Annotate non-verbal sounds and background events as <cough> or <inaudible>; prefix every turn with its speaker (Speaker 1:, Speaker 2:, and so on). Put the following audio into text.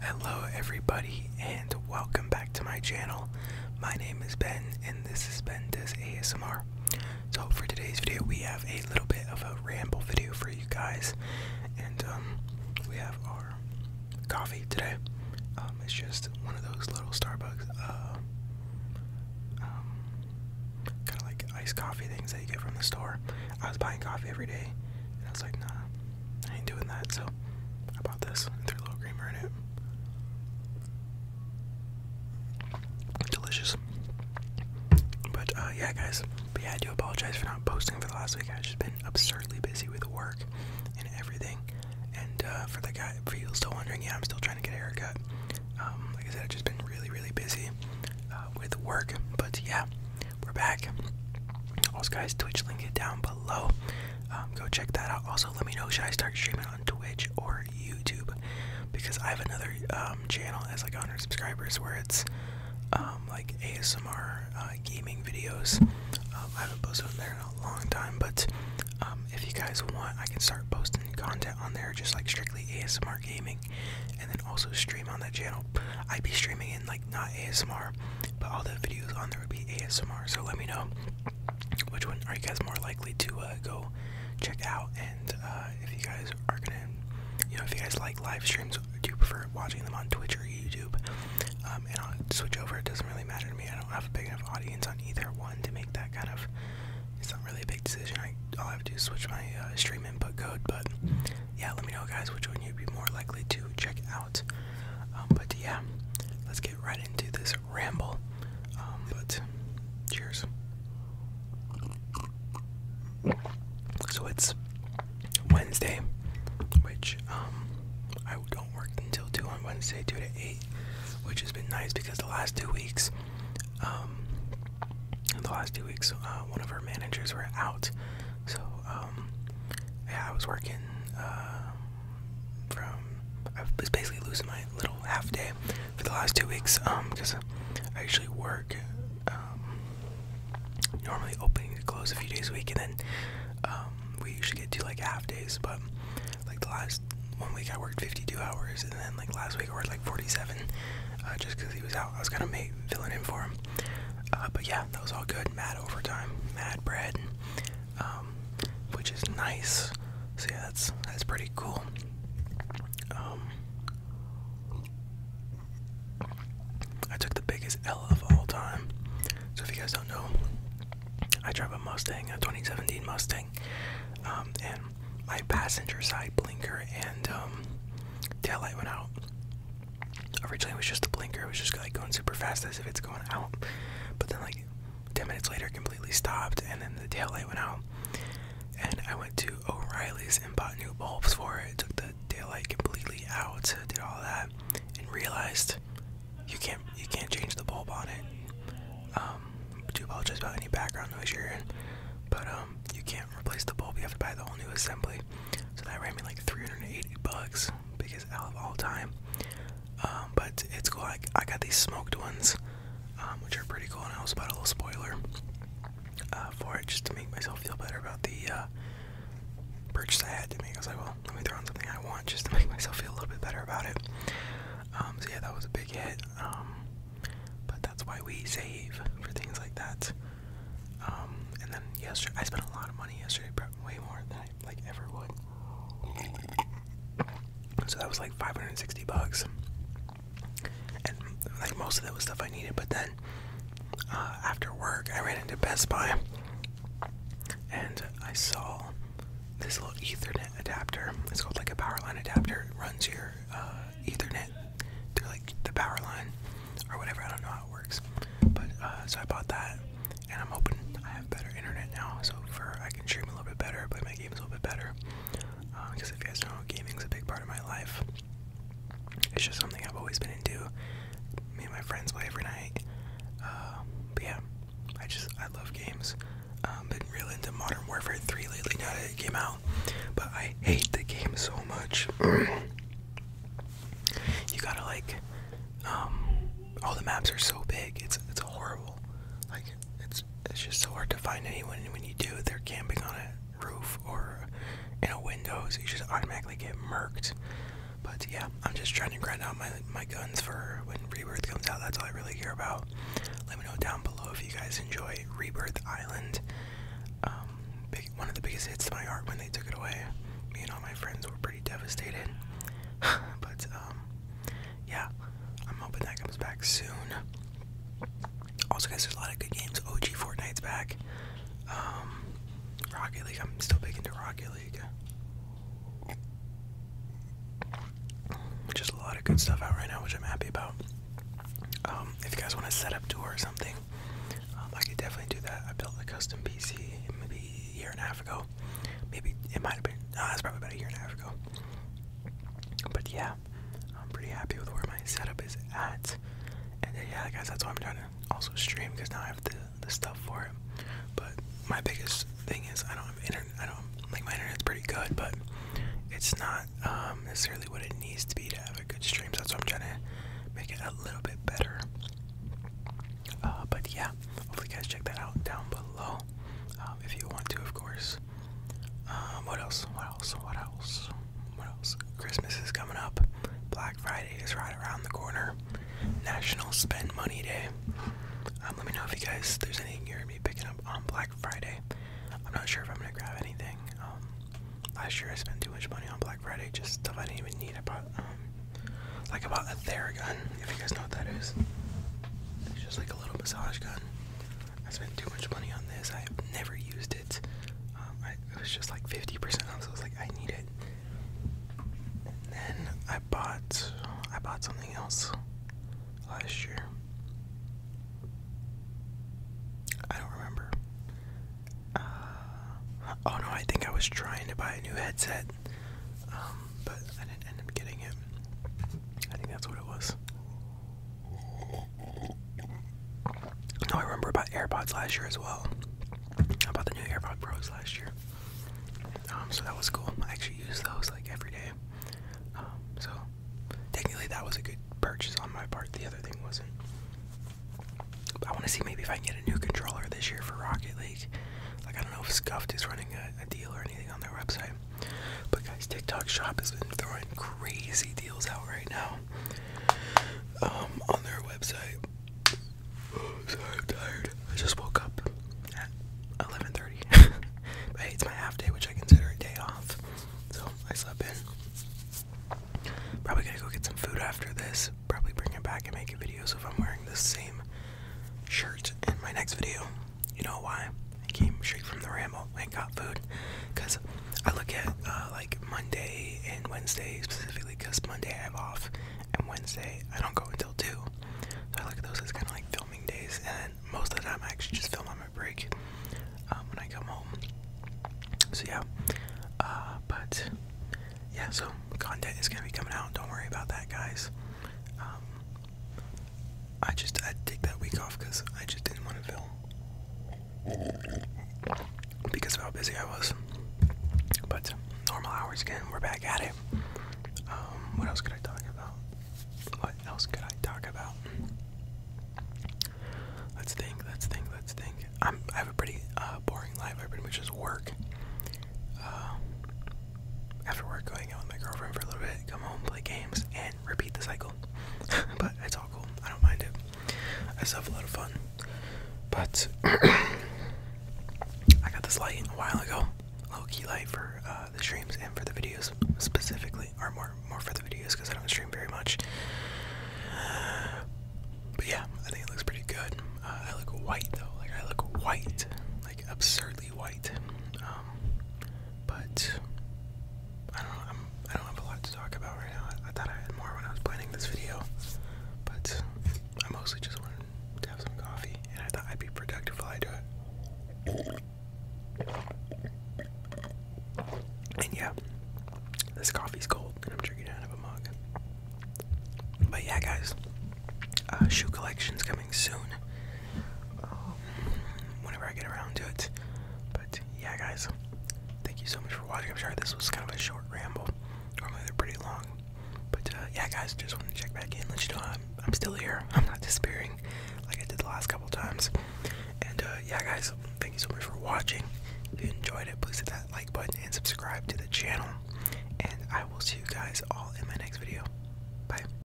Speaker 1: Hello everybody and welcome back to my channel. My name is Ben and this is Ben Does ASMR. So for today's video we have a little bit of a ramble video for you guys and um, we have our coffee today. Um, it's just one of those little Starbucks uh, um, kind of like iced coffee things that you get from the store. I was buying coffee every day and I was like nah I ain't doing that, so I this threw a little creamer in it. Delicious. But uh, yeah, guys. But yeah, I do apologize for not posting for the last week. I've just been absurdly busy with work and everything. And uh, for the guy, for you still wondering, yeah, I'm still trying to get a haircut. Um, like I said, I've just been really, really busy uh, with work. But yeah, we're back. Also, guys, Twitch link it down below. Um, go check that out. Also, let me know should I start streaming on Twitch or YouTube because I have another um, channel that's like 100 subscribers where it's um, like ASMR uh, gaming videos. I haven't posted on there in a long time, but if you guys want, I can start posting content on there just like strictly ASMR gaming and then also stream on that channel. I'd be streaming in like not ASMR, but all the videos on there would be ASMR. So let me know which one are you guys more likely to uh, go check out and uh, if you guys are gonna, you know, if you guys like live streams, do you prefer watching them on Twitch or YouTube? Um, and I'll switch over. It doesn't really matter to me. I don't have a big enough audience on either one to make that kind of. It's not really a big decision. I, all I have to do is switch my uh, stream already code, but yeah, let me know guys which one you'd be more likely to check out. Um, but yeah, let's get right into this ramble. Um, but cheers. So it's Wednesday, which um, I don't work until two on Wednesday, two to eight, which has been nice because the last two weeks in the last two weeks, uh, one of our managers were out. So, um, yeah, I was working uh, from, I was basically losing my little half day for the last two weeks because um, I usually work um, normally opening to close a few days a week and then we usually get to like half days, but like the last one week I worked 52 hours and then like last week I worked like 47. Uh, just because he was out. I was kind of make filling in for him. Uh, but yeah, that was all good. Mad overtime, mad bread, um, which is nice. So yeah, that's that's pretty cool. Um, I took the biggest L of all time. So if you guys don't know, I drive a Mustang, a 2017 Mustang, um, and my passenger side blinker and um, tail light went out. Originally, it was just the blinker. It was just like going super fast as if it's going out. But then, like 10 minutes later, completely stopped, and then the tail light went out. And I went to O'Reilly's and bought new bulbs for it. Took the tail light completely out. Did all that, and realized you can't you can't change the bulb on it. Um, I do apologize about any background noise you're in, but um, you can't replace the bulb. You have to buy the whole new assembly. So that ran me like 380 bucks, biggest out of all time. Um, but it's cool. I, got these smoked ones, um, which are pretty cool, and I was about a little spoiler uh, for it just to make myself feel better about the uh, purchase I had to make. I was like, well, let me throw on something I want just to make <laughs> myself feel a little bit better about it. Um, so yeah, that was a big hit. Um, but that's why we save for things like that. Um, and then yesterday, I spent a lot of money yesterday, way more than I like ever would. So that was like 560 bucks, and like most of that was stuff I needed. But then uh, after work, I ran into Best Buy, and I saw this little Ethernet adapter. It's called like a powerline adapter. runs your uh, Ethernet through like the powerline or whatever. I don't know how it works, but uh, so I bought that, and I'm hoping I have better internet now, so for I can stream a little bit better, play my games a little bit better. Because uh, if you guys know, gaming's a big part of my life. It's just something I've always been into. Me and my friends play every night. Uh, but yeah, I just I love games. Um, been real into Modern Warfare 3 lately now that it came out, but I hate the game so much. <clears throat> you gotta like, um, all the maps are so big. It's it's horrible. Like it's it's just so hard to find anyone. when you do, they're camping on a roof or in a window, so you just automatically get murked. But yeah, I'm just trying to grind out my my guns for when Rebirth comes out. That's all I really care about. Let me know down below if you guys enjoy Rebirth Island. Um, one of the biggest hits to my heart when they took it away. Me and all my friends were pretty devastated. <laughs> but um, yeah, I'm hoping that comes back soon. Also, guys, there's a lot of good games. OG Fortnite's back. Um, Rocket League. I'm still big into Rocket just a lot of good stuff out right now, which I'm happy about. Um, if you guys want to set up tour or something, um, I could definitely do that. I built a custom PC maybe a year and a half ago. Maybe it might have been, no, probably about a year and a half ago. But yeah, I'm pretty happy with where my setup is at. And yeah, guys, that's why I'm trying to also stream because now I have to the stuff for it. But my biggest thing is I don't have internet. I don't like my internet's pretty good, but it's not um, necessarily what it needs to be to have a good stream. So that's why I'm trying to make it a little bit better. Uh, but yeah, hopefully you guys check that out down below um, if you want to, of course. Um, what else? What else? What else? What else? Christmas is coming up. Black Friday is right around the corner. National Spend Money Day. Um, let me know if you guys, there's anything you're going to be picking up on Black Friday. I'm not sure if I'm going to grab anything. Um, last year I spent too much money on Black Friday, just stuff I didn't even need. I bought, um, like I bought a Theragun, if you guys know what that is. It's just like a little massage gun. I spent too much money on this. I've never used it. Um, it was just like 50% off, so I was like, I need it then I bought I bought something else last year. I don't remember. Uh, oh no, I think I was trying to buy a new headset, um, but I didn't end up getting it. I think that's what it was. No, I remember about AirPods last year as well. About the new AirPod Pros last year. Um, so that was cool. I actually used those like every day. Um, so technically that was a good purchase on my part. The other thing wasn't. I want to see maybe if I can get a new controller this year for Rocket League. Like I don't know if Scuffed is running a deal or anything on their website. But guys, TikTok Shop has been throwing crazy deals out right now um, on their website. Oh, i tired. I just woke up at 11:30. <laughs> it's my half day, which I consider a day off. So I slept in. Probably gonna go get some food after this. Probably bring it back and make a video. So if I'm wearing the same shirt in my next video, you know why? I came straight from the ramble got food because I look at uh, like Monday and Wednesday specifically because Monday I have off and Wednesday I don't go until two. So I look at those as kind of like filming days, and most of the time I actually just film on my break um, when I come home. So yeah, uh, but yeah, so content is gonna be coming out. Don't worry about that, guys. Um, I just I take that week off because I just didn't want to film because of how busy I was. But normal hours again, we're back at it. Um, what else could I talk about? What else could I talk about? Let's think, let's think, let's think. i have a pretty uh, boring life. I pretty much just work. Uh, after work, going out with my girlfriend for a little bit, come home, play games, and repeat the cycle. <laughs> but it's all cool. I don't mind it. I still have a lot of fun. But <coughs> I got this light a while ago. Low key light for uh, the streams and for the videos specifically, or more more for the videos because I don't stream very much. but yeah, I think it looks pretty good. Uh, I look white though, like I look white, like absurdly white. Um, but I don't know. I'm, I do not have a lot to talk about right now. I, thought I had more when I was planning this video, but I mostly just wanted to have some coffee, and I thought I'd be productive while I do it. And yeah, this coffee's cold, and I'm drinking out of a mug. But yeah, guys, uh, shoe collection's coming soon. Oh, whenever I get around to it. But yeah, guys, thank you so much for watching. I'm sorry this was kind of a short ramble. Normally they're pretty long. But uh, yeah, guys, just want to check back in, let you know I'm, I'm still here. <laughs> I'm not disappearing like I did the last couple times. And uh, yeah, guys, thank you so much for watching. If you enjoyed it, please hit that like button and subscribe to the channel. And I will see you guys all in my next video. Bye.